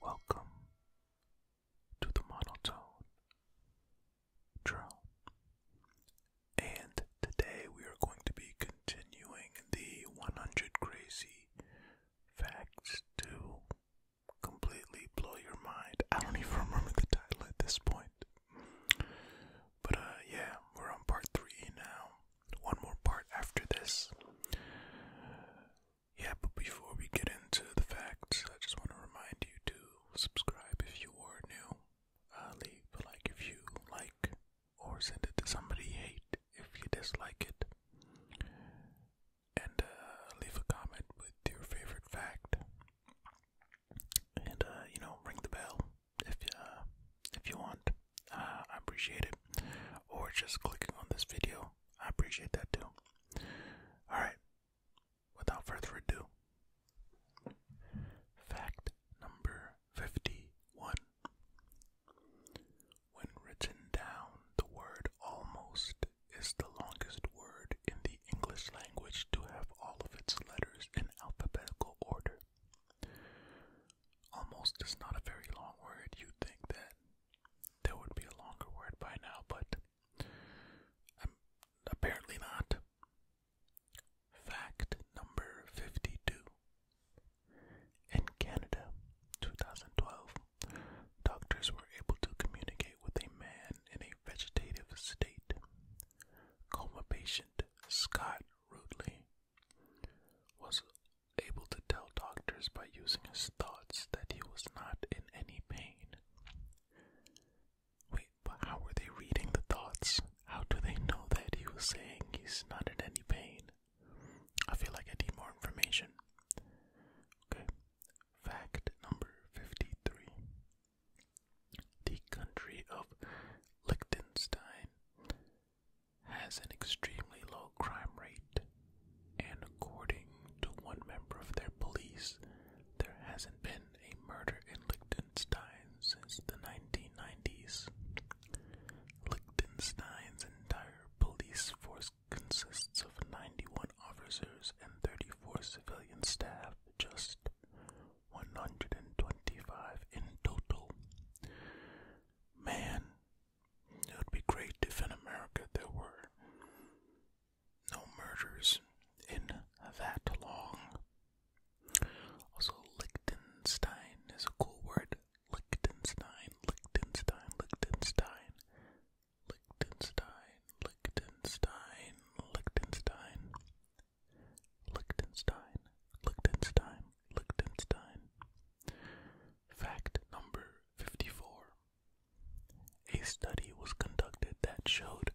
Welcome to the monotone drone. And today we are going to be continuing the 100 crazy facts too completely blow your mind. I don't even remember the title at this point. But uh, yeah, we're on part 3 now. One more part after this. Yeah, but before we get into the facts, I just want to remind you to subscribe if you are new. Uh, leave a like if you like, or send it to somebody hate if you dislike it and uh, leave a comment with your favorite fact, and uh, you know, ring the bell if uh, if you want. I appreciate it, or just clicking on this video. I appreciate that too. All right, without further ado, fact number fifty-one. When written down, the word almost is the longest word in the English language to have all of its letters in alphabetical order. Almost is not a very long word. You'd think that there would be a longer word by now, but apparently not. Fact number 52. In Canada, 2012, doctors were able to communicate with a man in a vegetative state. Coma patient Scott Rudley was able to tell doctors by using his thoughts that he was not in any pain. Wait, but how were they reading the thoughts? How do they know that he was saying he's not in any pain? I feel like I need more information. Okay, fact number 53 the country of Liechtenstein has an extremely low crime rate, and according to one member of their police, there hasn't been a murder in Liechtenstein since the 1990s. Liechtenstein's entire police force consists of 91 officers and 34 civilian staff just 125 in total. Man, it would be great if in America there were no murders in that long. Also, Liechtenstein is a cool word. Liechtenstein, Liechtenstein, Liechtenstein. Liechtenstein, Liechtenstein, Liechtenstein, Liechtenstein, Liechtenstein, Liechtenstein. Fact number 54. A study was conducted that showed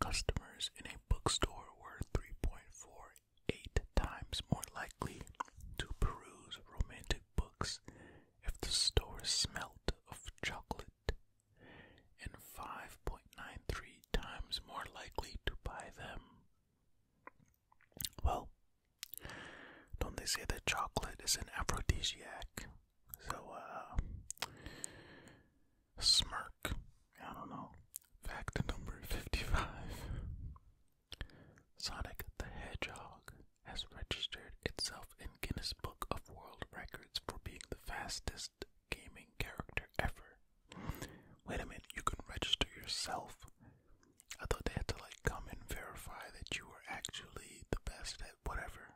customers in a bookstore were 3.48 times more likely to peruse romantic books if the store smelled of chocolate and 5.93 times more likely to buy them. Well, don't they say that chocolate is an aphrodisiac? So, uh, smirk. I don't know. Fact number 55 Sonic the Hedgehog has registered itself in Guinness Book of World Records for being the fastest gaming character ever. Wait a minute, you can register yourself. I thought they had to like come and verify that you were actually the best at whatever.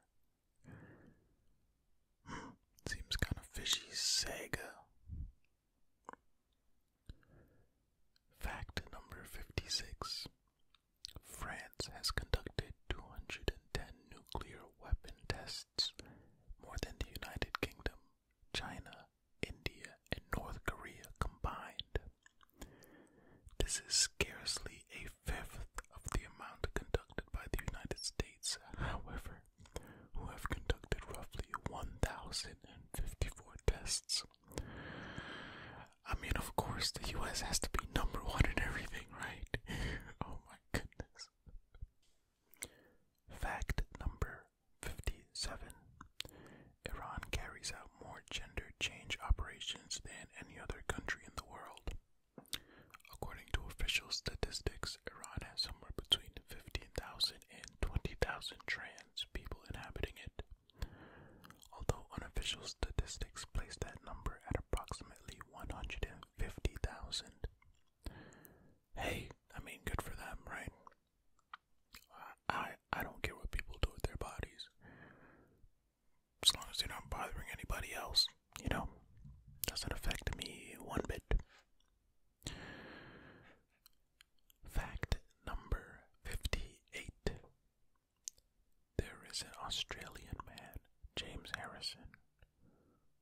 Hmm, seems kind of fishy, Sega. Fact number 56 France has conducted 210 nuclear weapon tests more than the United Kingdom, China, India, and North Korea combined. This is scarcely a fifth of the amount conducted by the United States, however, who have conducted roughly 1,054 tests. I mean, of course, the US has to be number one in everything, right? oh my goodness. Fact number 57 Iran carries out more gender change operations than any other country in the world. According to official statistics, Iran has somewhere between 15,000 and 20,000 trans people inhabiting it. Although unofficial statistics place that number at approximately 150,000 Fifty thousand. Hey, I mean, good for them, right? I I don't care what people do with their bodies, as long as they're not bothering anybody else. You know, doesn't affect me one bit. Fact number fifty-eight: There is an Australian man, James Harrison,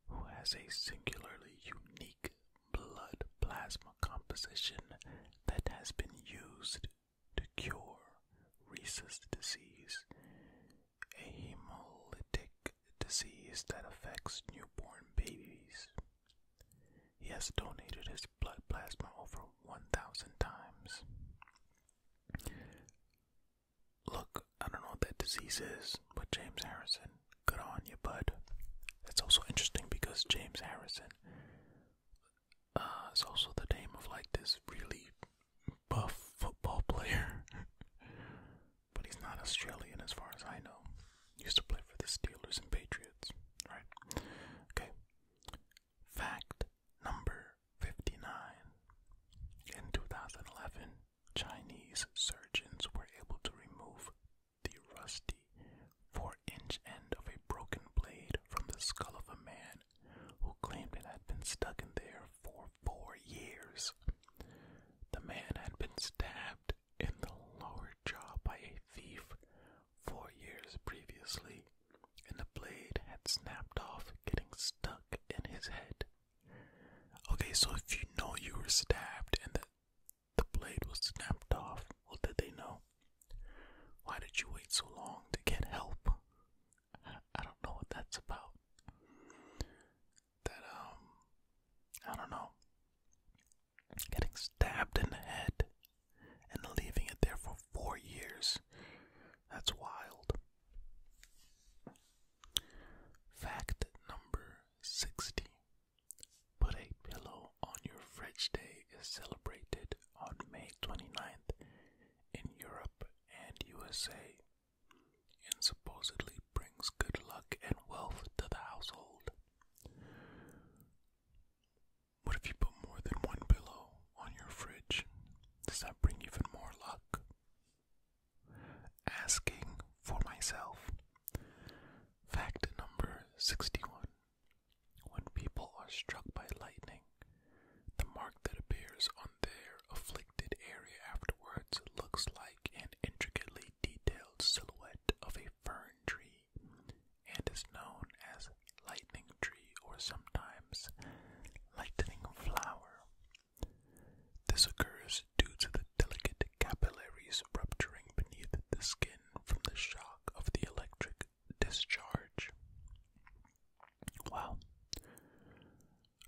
who has a singularly unique blood plasma composition that has been used to cure rhesus disease, a hemolytic disease that affects newborn babies. He has donated his blood plasma over 1,000 times. Look, I don't know what that disease is, but James Harrison, good on you, bud. It's also interesting because James Harrison uh, is also the name of like this really buff football player, but he's not Australian as far as I know. used to play for the Steelers and Patriots, right? Okay. Fact number 59 in 2011 Chinese surgeons were able to remove the rusty four inch end of a broken blade from the skull of a man who claimed it had been stuck in there for four years. The man had been stabbed in the lower jaw by a thief four years previously, and the blade had snapped off, getting stuck in his head. Okay, so if you know you were stabbed and that the blade was snapped off, well, did they know? Why did you wait so long to get help? I don't know what that's about. That, um, I don't know. Getting stabbed in the head and leaving it there for four years. That's wild. Fact number 60. Put a pillow on your fridge day is celebrated on May 29th in Europe and USA and supposedly brings good luck and wealth to the household. What if you put more than one pillow on your fridge? Does that bring even more luck? asking for myself. Fact number 61. When people are struck by lightning, the mark that appears on their afflicted area afterwards looks like an intricately detailed silhouette of a fern tree and is known as lightning tree or sometimes lightning flower. This occurs due to the delicate capillaries rupturing beneath the skin from the shock of the electric discharge. Wow.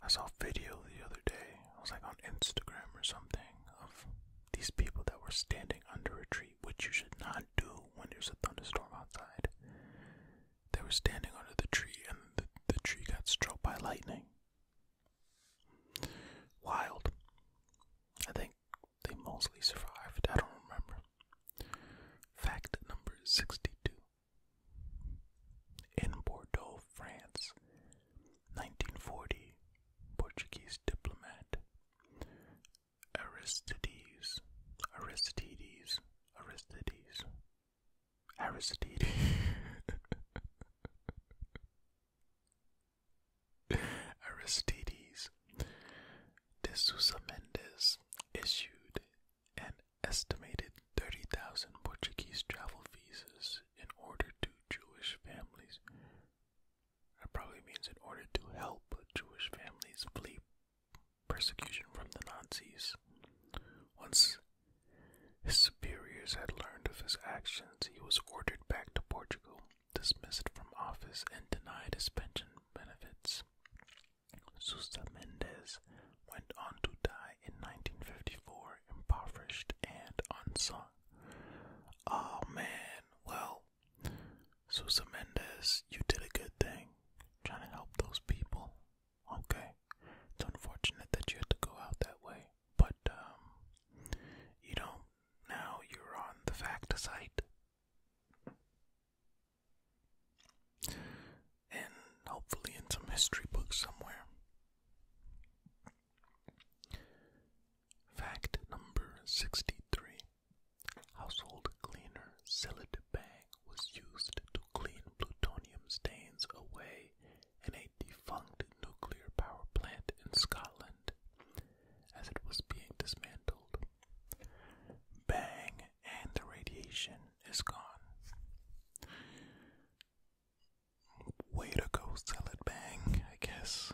I saw a video the other day, I was like on Instagram or something, of these people that were standing under a tree, which you should not do when there's a thunderstorm outside. They were standing under the tree and the tree got struck by lightning. Wild. I think they mostly survived. I don't remember. Fact number 62. In Bordeaux, France, 1940, Portuguese diplomat Aristides, Aristides, Aristides, Aristide. Aristides de Sousa Mendes issued an estimated 30,000 Portuguese travel visas in order to Jewish families. That probably means in order to help Jewish families flee persecution from the Nazis. Once his superiors had learned of his actions. He was ordered back to Portugal, dismissed from office, and denied his pension benefits. Sousa Mendes went on to die in 1954, impoverished and unsung. Oh man, well, Sousa Mendes, you did a good thing, trying to help those people. Okay, it's unfortunate that you had to go out that way, but um, you know, now you're on the fact site. And hopefully in some history book somewhere. Fact number 63 Household cleaner Celid was used to clean plutonium stains away in a defunct nuclear power plant in Scotland as it was being dismantled. Bang, and the radiation is gone. Way to go, sell bang, I guess.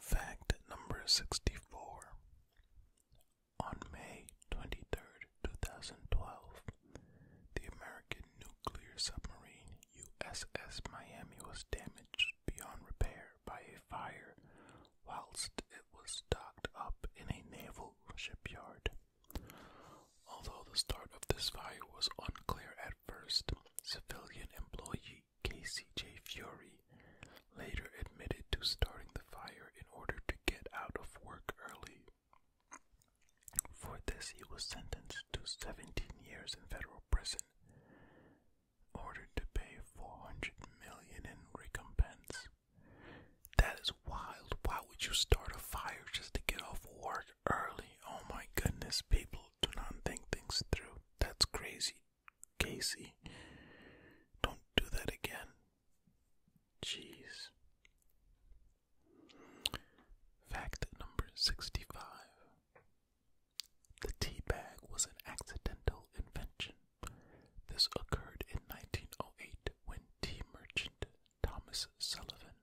Fact number 64. On May 23rd, 2012, the American nuclear submarine USS Miami was damaged beyond repair by a fire whilst it was docked up in a naval shipyard. Although the start of this fire was unclear at first, civilian employee Casey J. Fury later admitted to starting the fire in order to get out of work early. For this, he was sentenced to 17 years in federal prison, ordered to pay 400 million in recompense. That is wild. Why would you start a fire just to get off work early? Oh my goodness, people do not think things through. That's crazy. Casey, don't do that again. Jeez. Fact number 65 The tea bag was an accidental invention. This occurred in 1908 when tea merchant Thomas Sullivan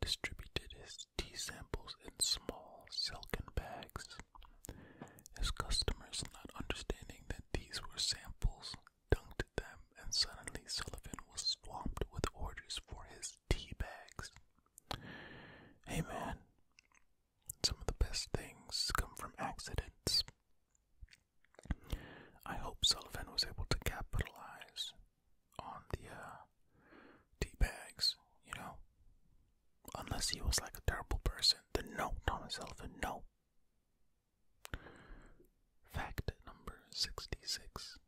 distributed his tea samples in small silken bags. His customers, not understanding that these were samples, dunked them, and suddenly Sullivan was swamped with orders for his tea bags. Hey man, some of the best things come from accidents. I hope Sullivan was able to capitalize on the uh, tea bags, you know. Unless he was like a terrible person, then no, Thomas Sullivan, no. Fact number 66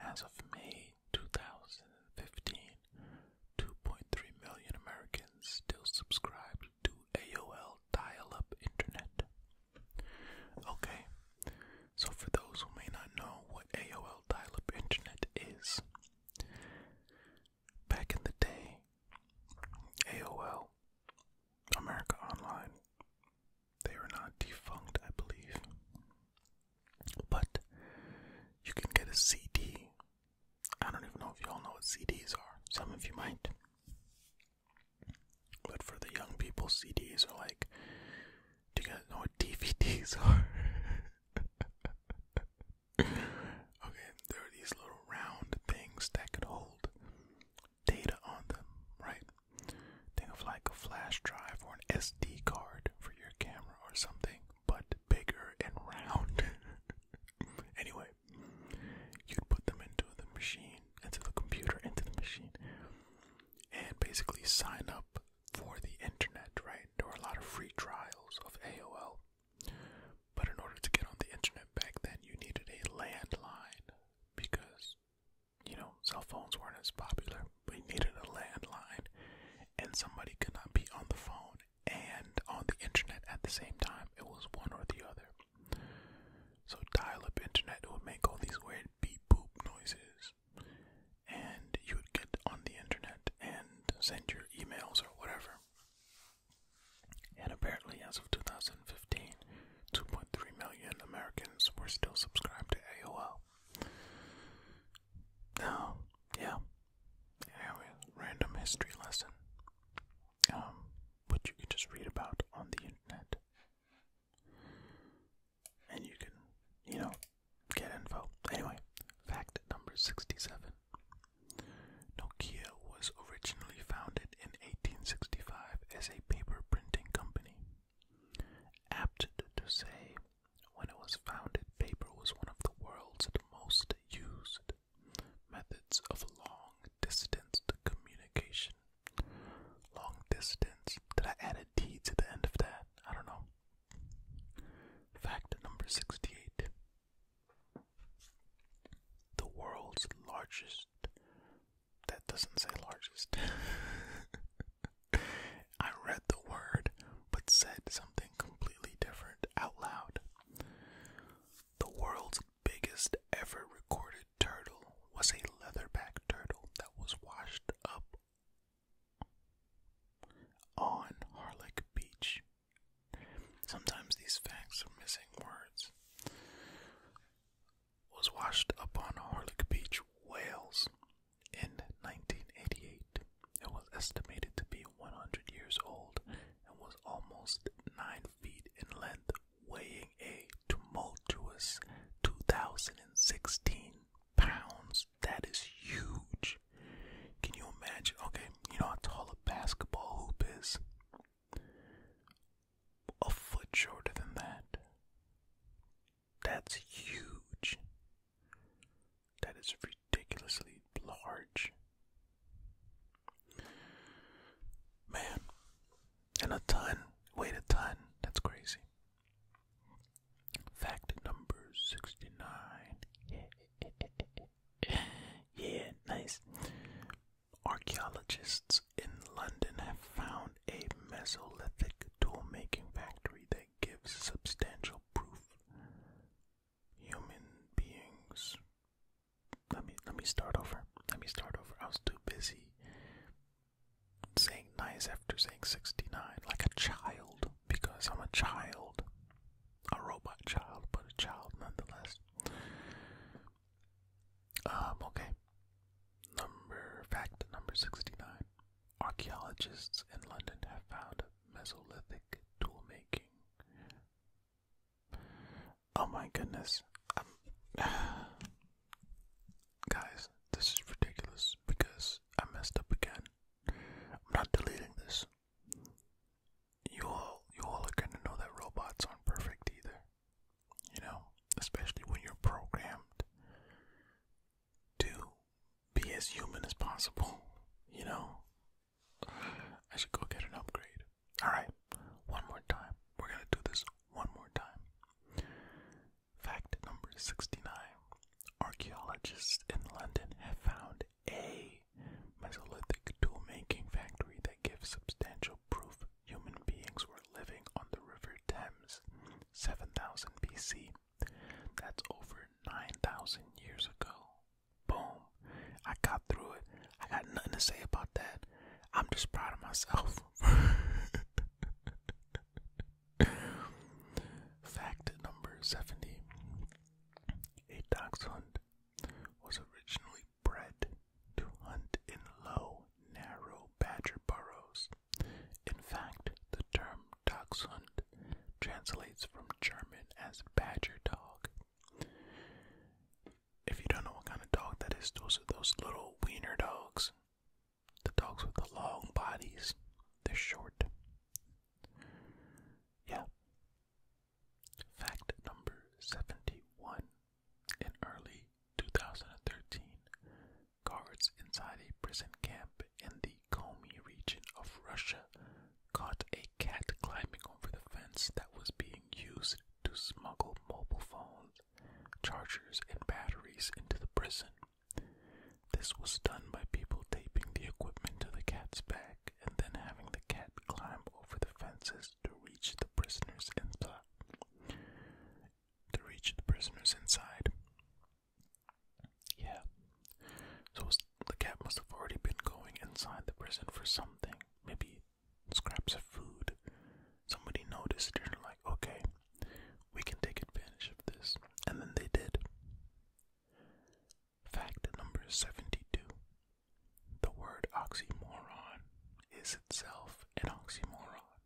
as of May 2015, 2.3 million Americans still subscribed to AOL dial up internet. Okay, so for those who may not know what AOL dial up internet is, back in the day, AOL, America Online, they are not defunct, I believe. But you can get a CD. I don't even know if y'all know what CDs are. Some of you might. But for the young people, CDs are like. Do you guys know what DVDs are? okay, there are these little round things that could hold data on them, right? Think of like a flash drive or an SD card for your camera or something, but bigger and round. anyway, you'd put them into the machine, into the computer, into the machine, and basically sign up for the internet, right? There were a lot of free trials of AOL. But in order to get on the internet back then, you needed a landline because you know, cell phones weren't as popular. We needed a landline, and somebody could not be on the phone and on the internet at the same time. It was one or the other. So dial-up internet would make all these weird beep boop noises, and you would get on the internet and send your emails or whatever. And apparently, as of 2015, 2.3 million Americans were still subscribed to AOL. Oh, yeah. Anyway, random history lesson. Um, which you can just read about on the internet. And you can, you know, get info. Anyway, fact number 67. Nokia was originally founded in 1865 as a paper printing company. Apt to say, when it was founded, paper was one of the world's most used methods of long distance communication. Long distance. Did I add a D to the end of that? I don't know. Fact number 68 The world's largest. That doesn't say largest. I read the word but said something completely different out loud. The world's biggest ever recorded turtle was a leatherback turtle that was washed up on Harlech Beach. Sometimes these facts are missing words. Was washed up on Harlech Beach, Wales in 1988, it was estimated to be 100 years old and was almost 9 feet in length, weighing a tumultuous 2,016 pounds. That is huge. Can you imagine? Okay, you know how tall a basketball hoop is? A foot shorter than that. That's huge. That is ridiculously large. Man, and a ton, wait a ton, that's crazy. Fact number 69. Yeah, nice. Archaeologists in London have found a Mesolithic tool making factory gives substantial proof. Human beings. Let me let me start over. Let me start over. I was too busy saying nice after saying 69 like a child because I'm a child. A robot child, but a child nonetheless. Um, okay. Number fact number 69. Archaeologists in London have found Mesolithic tool making. Oh my goodness. Um, guys, this is ridiculous because I messed up again. I'm not deleting this. You all you all are gonna know that robots aren't perfect either. You know? Especially when you're programmed to be as human as possible, you know? I should go get an upgrade. Alright, one more time. We're gonna do this one more time. Fact number 69 Archaeologists in London have found a Mesolithic tool making factory that gives substantial proof human beings were living on the River Thames 7000 BC. That's over 9,000 years ago. Boom. I got through it. I got nothing to say about that. I'm just proud of myself. Fact number 70 A dachshund was originally bred to hunt in low, narrow badger burrows. In fact, the term Dachshund translates from German as badger dog. If you don't know what kind of dog that is, those are those little wiener dogs. The dogs with the long bodies. They're short. Yeah. Fact number 71. In early 2013, guards inside a prison camp in the Komi region of Russia caught a cat climbing over the fence that was being used to smuggle mobile phones, chargers, and batteries into the prison. This was done by people taping the equipment to the cat's back and then having the cat climb over the fences to reach the prisoners inside. Yeah. So the cat must have already been going inside the prison for something. Maybe scraps of food. Somebody noticed it and they're like, okay, we can take advantage of this. And then they did. Fact number 72 The word oxymoron is itself an oxymoron.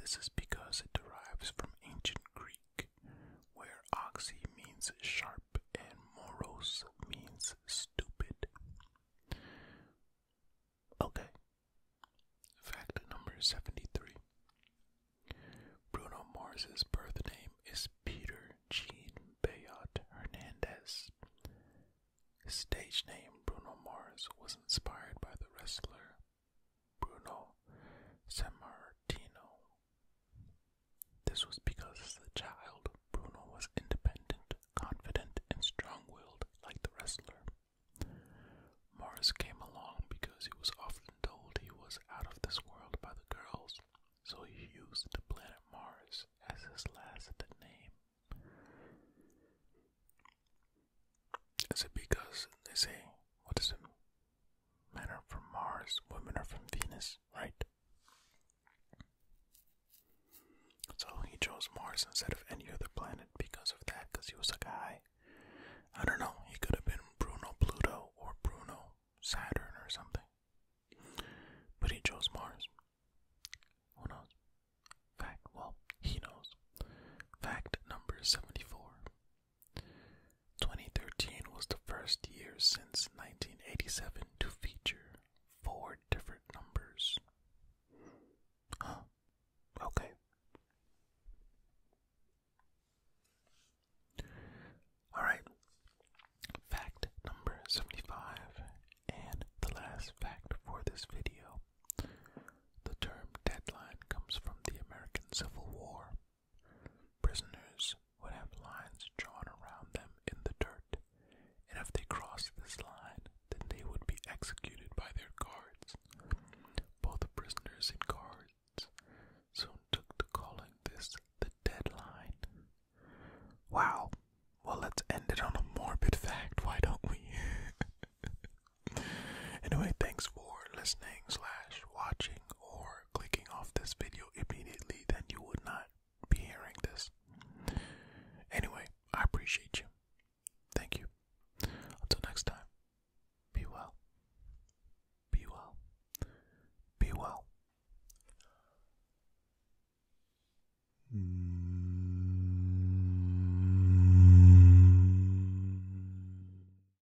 This is because it derives from ancient Greek where oxy means sharp and morose means stupid. Okay. Fact number 73 Bruno Mars's birth name is Peter Jean Bayot Hernandez. stage name, Bruno Mars, was inspired by the wrestler Bruno Sammartino. This was because the child, Bruno was independent, confident, and strong willed like the wrestler. Mars came along because he was often told he was out of this world by the girls, so he used the planet Mars as his last name. Is it because they say, what is it? Men are from Mars, women are from Venus, right? So he chose Mars instead of any other planet because of that, because he was a guy. I don't know, he could have been Bruno Pluto or Bruno Saturn or something. But he chose Mars. Who knows? Fact, well, he knows. Fact number 74 2013 was the first year since 1987 to feature four different numbers. Okay. Alright. Fact number 75, and the last fact for this video. The term deadline comes from the American Civil War. Prisoners would have lines drawn around them in the dirt, and if they crossed this line, then they would be executed by their guards. Both prisoners and guards soon took to calling this the deadline. Wow. Well, let's end it on a morbid fact, why don't we? anyway, thanks for listening slash watching or clicking off this video immediately, then you would not be hearing this. Anyway, I appreciate you. Thank you. Until next time, be well. Be well. Be well.